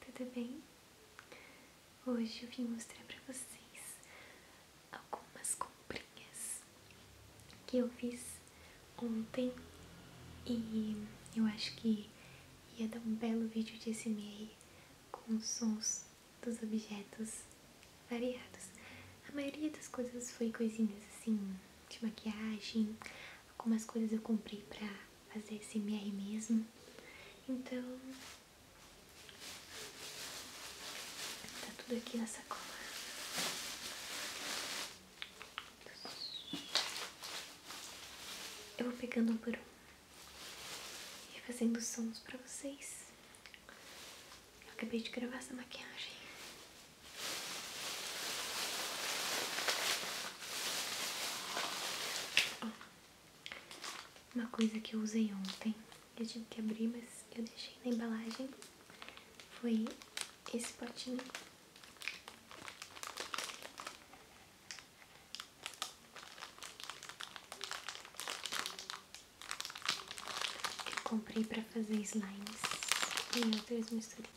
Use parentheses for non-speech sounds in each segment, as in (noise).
tudo bem? Hoje eu vim mostrar pra vocês algumas comprinhas que eu fiz ontem e eu acho que ia dar um belo vídeo de SMR com os sons dos objetos variados. A maioria das coisas foi coisinhas assim de maquiagem, algumas coisas eu comprei pra fazer SMR mesmo. Então, Tá tudo aqui nessa sacola. Eu vou pegando um por um e fazendo sons pra vocês. Eu acabei de gravar essa maquiagem. Uma coisa que eu usei ontem, eu tive que abrir, mas eu deixei na embalagem, foi esse potinho. Eu comprei para fazer slimes e outras misturinhas.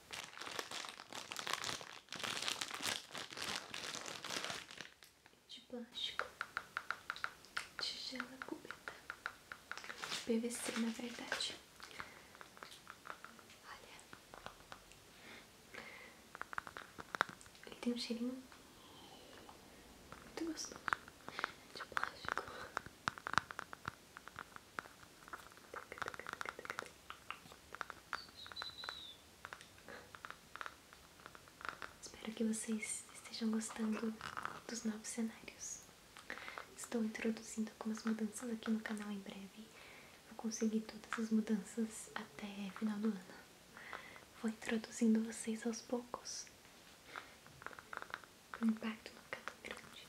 de plástico, tigela cúbica, PVC na verdade. Olha, ele tem um cheirinho muito gostoso de plástico. Espero que vocês estejam gostando dos novos cenários. Estou introduzindo algumas mudanças aqui no canal em breve. Vou conseguir todas as mudanças até final do ano. Vou introduzindo vocês aos poucos. O impacto no canal grande.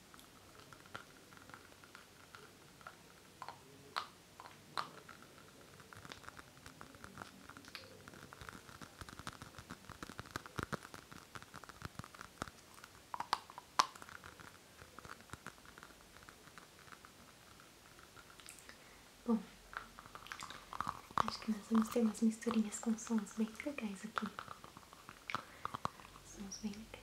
Bom, acho que nós vamos ter umas misturinhas com sons bem legais aqui. Sons bem legais.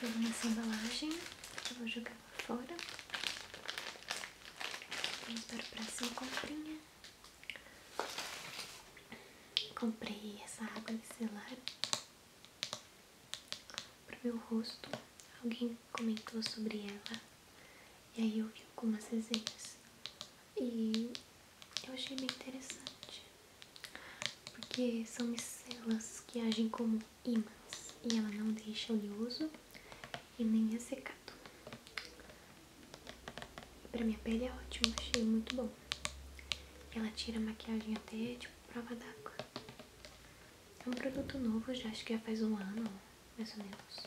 Pego nessa embalagem que eu vou jogar para fora. Vamos para a próxima comprinha. Comprei essa água micelar para o meu rosto. Alguém comentou sobre ela e aí eu vi algumas resenhas e eu achei bem interessante porque são micelas que agem como ímãs e ela não deixa oleoso e nem ressecado. Pra minha pele é ótimo, achei muito bom. Ela tira a maquiagem até tipo prova d'água. É um produto novo, já acho que já faz um ano, mais ou menos.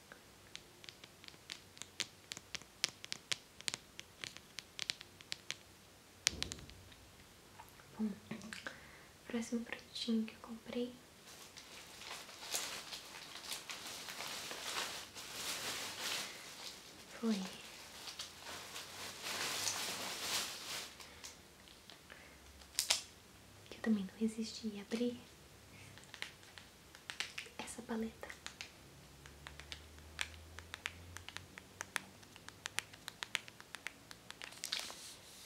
próximo produtinho que eu comprei foi que eu também não resisti a abrir essa paleta.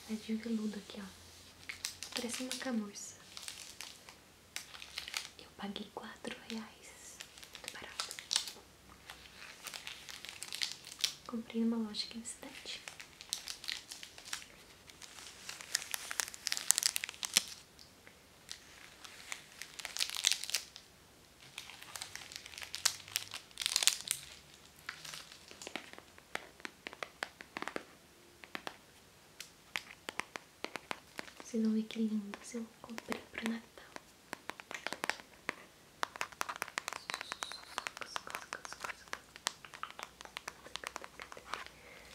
É de veludo aqui, ó. Parece uma camurça. Eu paguei quatro reais. Muito barato. Comprei numa loja aqui na cidade. Vocês não ver que lindas eu comprei para Natal.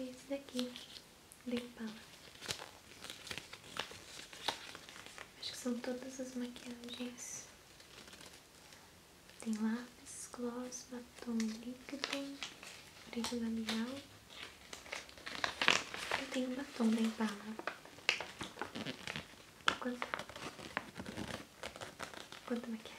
Esse daqui, de la Acho que são todas as maquiagens. Tem lápis, gloss, batom líquido, brilho labial. Eu tenho um batom da Impala. Quanto? Quanto é maquiagem?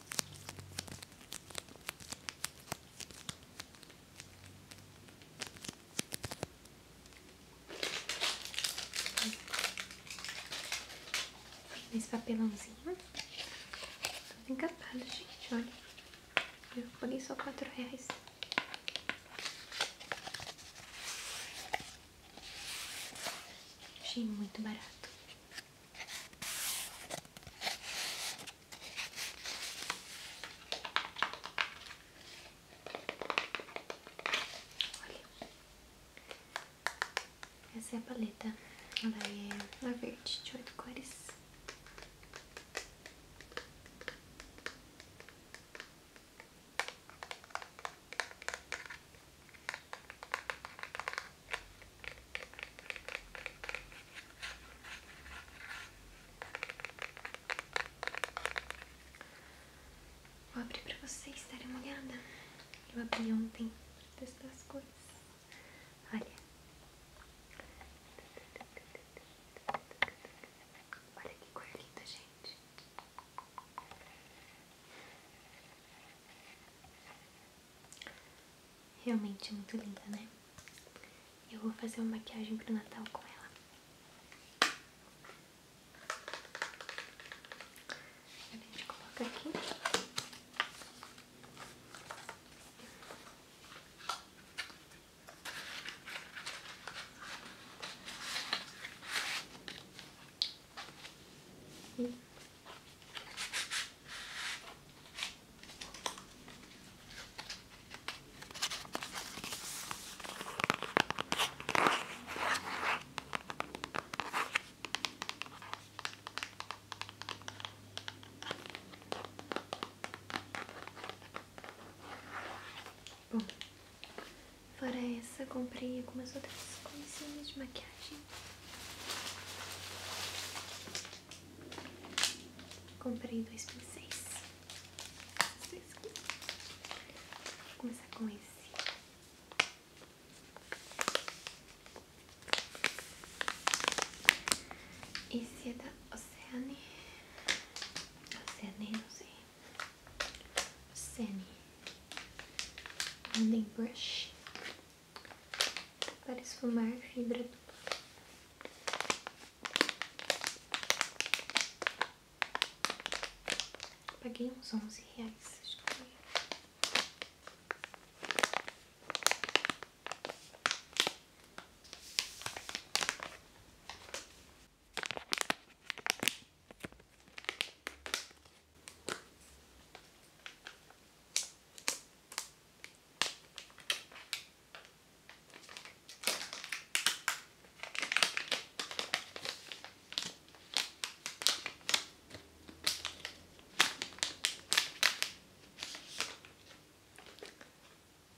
Nesse papelãozinho. Tudo encapado, gente, olha. Eu paguei só quatro reais. Achei muito barato. Olha, essa é a paleta, ela é verde de oito cores. Vou abrir para vocês estarem molhada. Eu abri ontem pra testar as coisas. Olha. Olha que cor linda, gente. Realmente muito linda, né? Eu vou fazer uma maquiagem pro Natal com ela. A gente coloca aqui. Bom, fora essa, comprei algumas outras coisinhas de maquiagem. Comprei dois pincéis. Vou começar com esse. Esse é da Oceane. Oceane, não sei. Oceane. London Brush para esfumar fibra Paguei uns onze reais.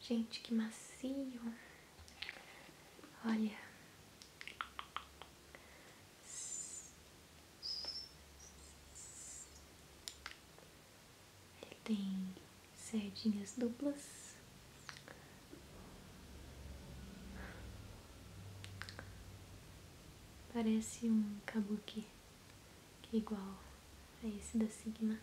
Gente, que macio. Olha. Ele tem sardinhas duplas. Parece um kabuki, que é igual a esse da Sigma.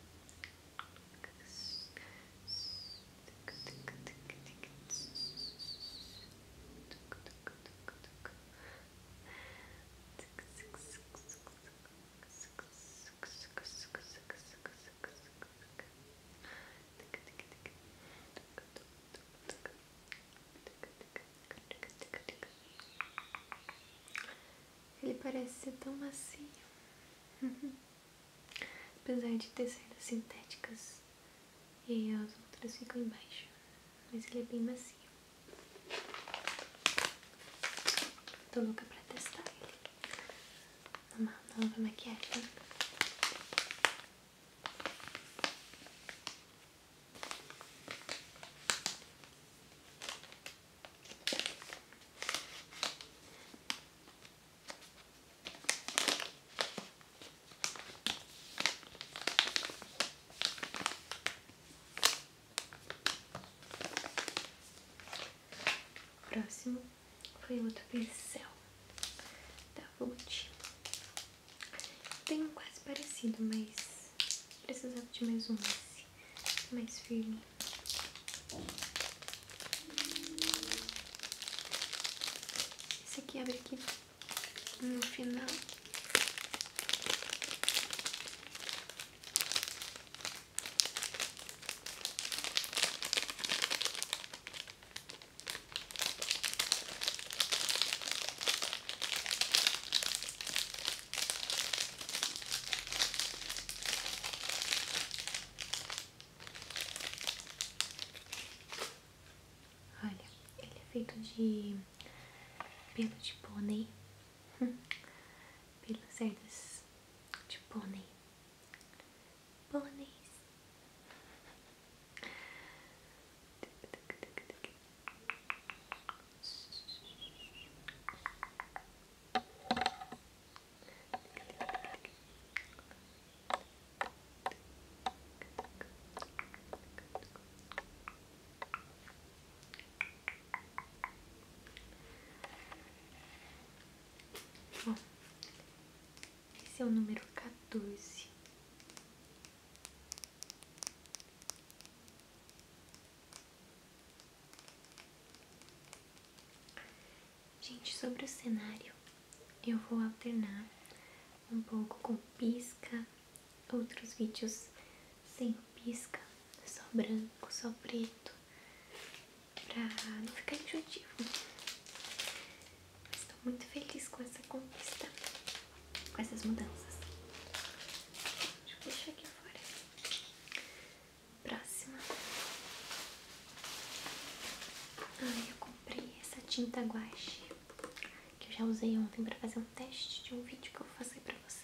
Ele parece ser tão macio, apesar de ter saídas sintéticas e as outras ficam embaixo mas ele é bem macio. Tô louca pra testar ele. Uma nova maquiagem. O próximo foi outro pincel da Vult. Tem um quase parecido, mas precisava de mais um esse, mais firme. Esse aqui abre aqui no final. Olha, ele é feito de pelo de pônei (laughs) pelos herdos de pônei. Pôneis. Bom, esse é o número 14. Gente, sobre o cenário, eu vou alternar um pouco com pisca, outros vídeos sem pisca, só branco, só preto, pra não ficar enjoativo. estou muito feliz com essa conquista, com essas mudanças. Deixa eu deixar aqui fora. Próxima. Ai, eu comprei essa tinta guache que eu já usei ontem pra fazer um teste de um vídeo que eu vou fazer pra vocês.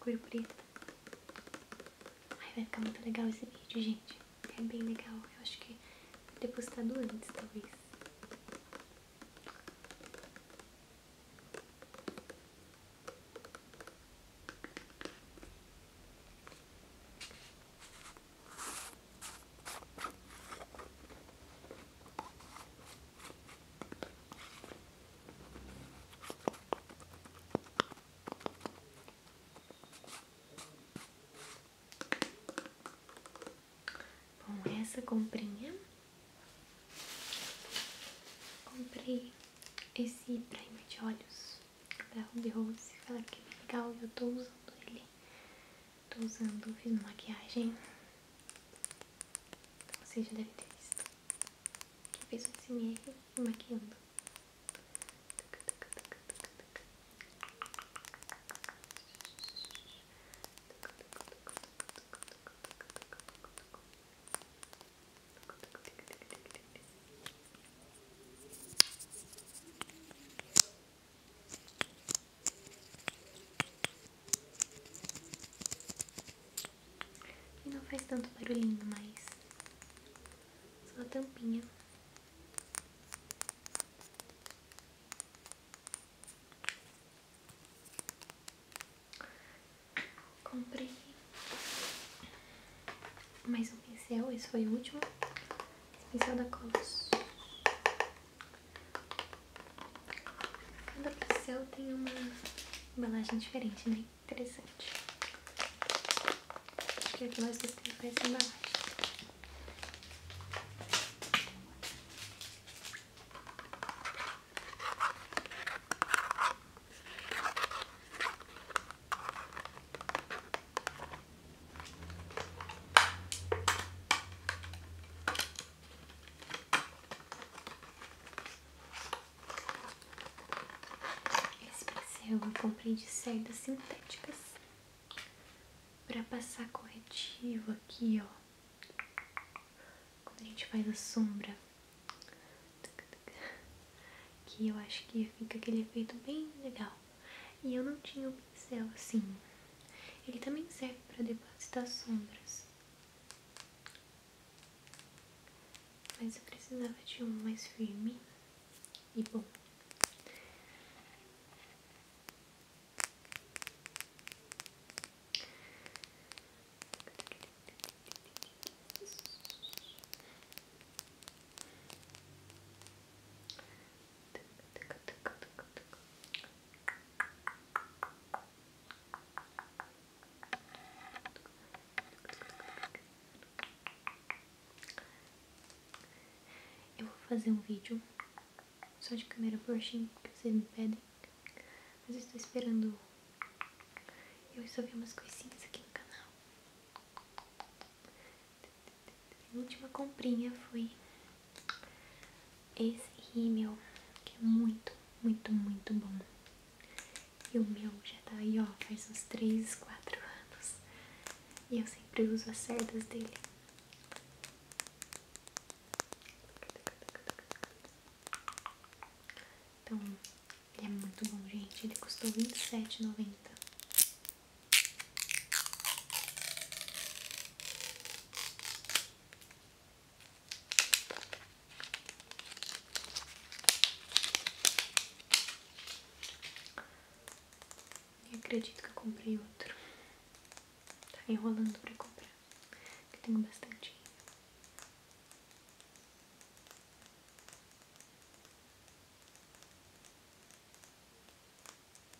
Cor preta. Ai, vai ficar muito legal esse vídeo, gente. É bem legal. Eu acho que vou ter postado antes, talvez com essa comprinha comprei esse prêmio de olhos da Ruby Rose, fala que legal e eu tô usando ele. Tô usando, fiz uma maquiagem, você já deve ter visto, que eu fiz um SMR maquiando. E não faz tanto barulhinho mais. Só a tampinha. Comprei mais um pincel, esse foi o último pincel da Cos. Cada pincel tem uma embalagem diferente, né? Interessante. Acho que é que mais gostei dessa embalagem. Esse pincel eu comprei de cerdas sintéticas para passar corretivo aqui, ó. Quando a gente faz a sombra, que eu acho que fica aquele efeito bem legal. E eu não tinha o um pincel assim. Ele também serve para depositar sombras. Mas eu precisava de um mais firme e bom. Eu vou fazer um vídeo só de câmera porchinha que vocês me pedem. Mas eu estou esperando. Eu só vi umas coisinhas aqui no canal. A última comprinha foi esse rímel, que é muito, muito, muito bom. E o meu já tá aí, ó, faz uns 3, 4 anos. E eu sempre uso as cerdas dele. Então, ele é muito bom, gente. Ele custou R$27,90. Nem acredito que eu comprei outro. Tá enrolando pra comprar. Que tenho bastante.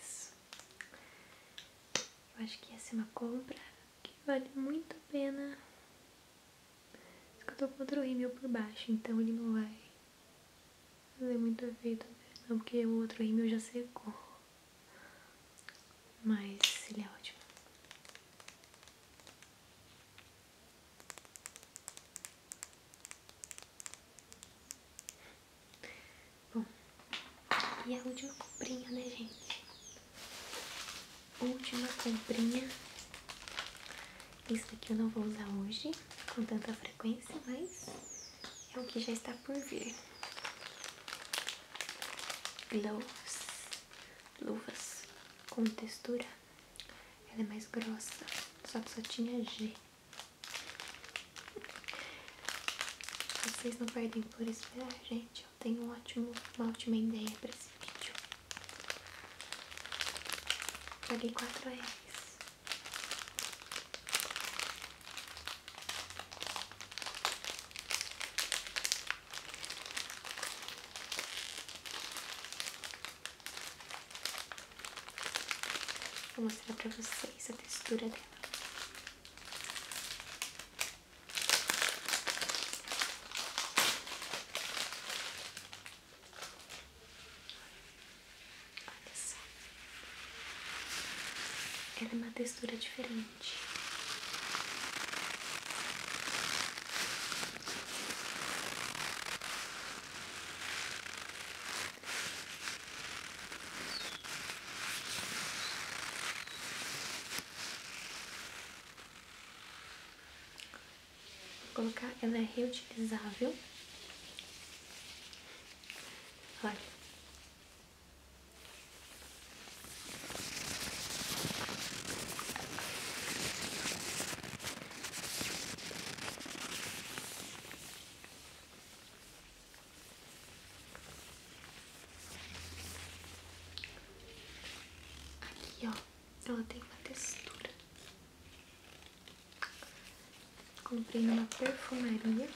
Isso. Eu acho que essa é uma compra que vale muito a pena só que eu tô com outro rímel por baixo, então ele não vai fazer muito efeito, né? não, porque o outro rímel já secou. Mas ele é ótimo. Bom, e a última comprinha, né, gente? última comprinha. Isso aqui eu não vou usar hoje com tanta frequência, mas é o que já está por vir. Gloves, luvas com textura. Ela é mais grossa, só que só tinha G. Vocês não perdem por esperar, gente. Eu tenho um ótimo, uma ótima ideia para esse vídeo. Paguei quatro reais. Vou mostrar para vocês a textura dela. Olha só. Ela é uma textura diferente. Vou colocar, ela é reutilizável. Olha. Aqui, ó, ela tem uma textura Comprei uma perfumaria.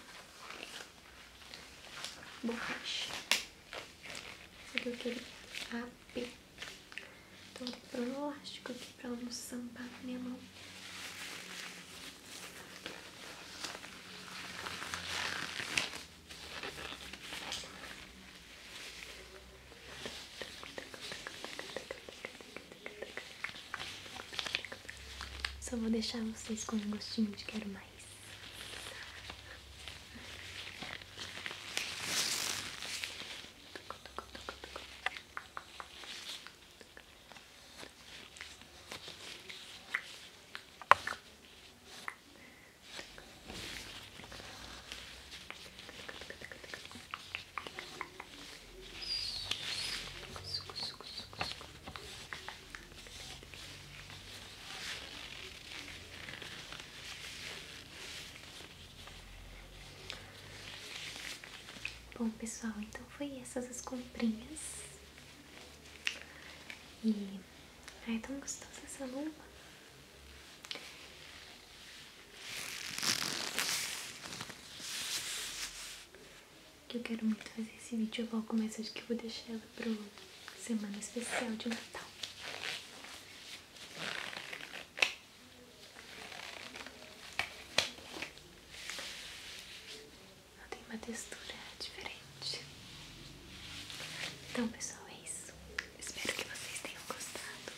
Borracha. Essa aqui eu queria AP. Então eu vou um plástico aqui pra ela não sampar minha mão. Só vou deixar vocês com um gostinho de quero mais. Bom pessoal, então foi essas as comprinhas e ai, é tão gostosa essa luva que eu quero muito fazer esse vídeo Eu vou começar de que eu vou deixar ela o semana especial de Natal. Ela tem uma textura diferente. Então, pessoal, é isso. Espero que vocês tenham gostado.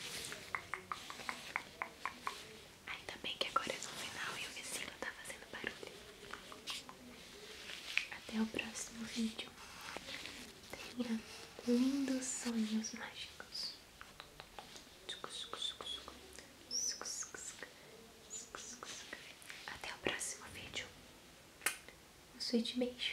Ainda bem que agora é no final e o vizinho tá fazendo barulho. Até o próximo vídeo. Tenha lindos sonhos mágicos. Até o próximo vídeo. Um suíte beijo.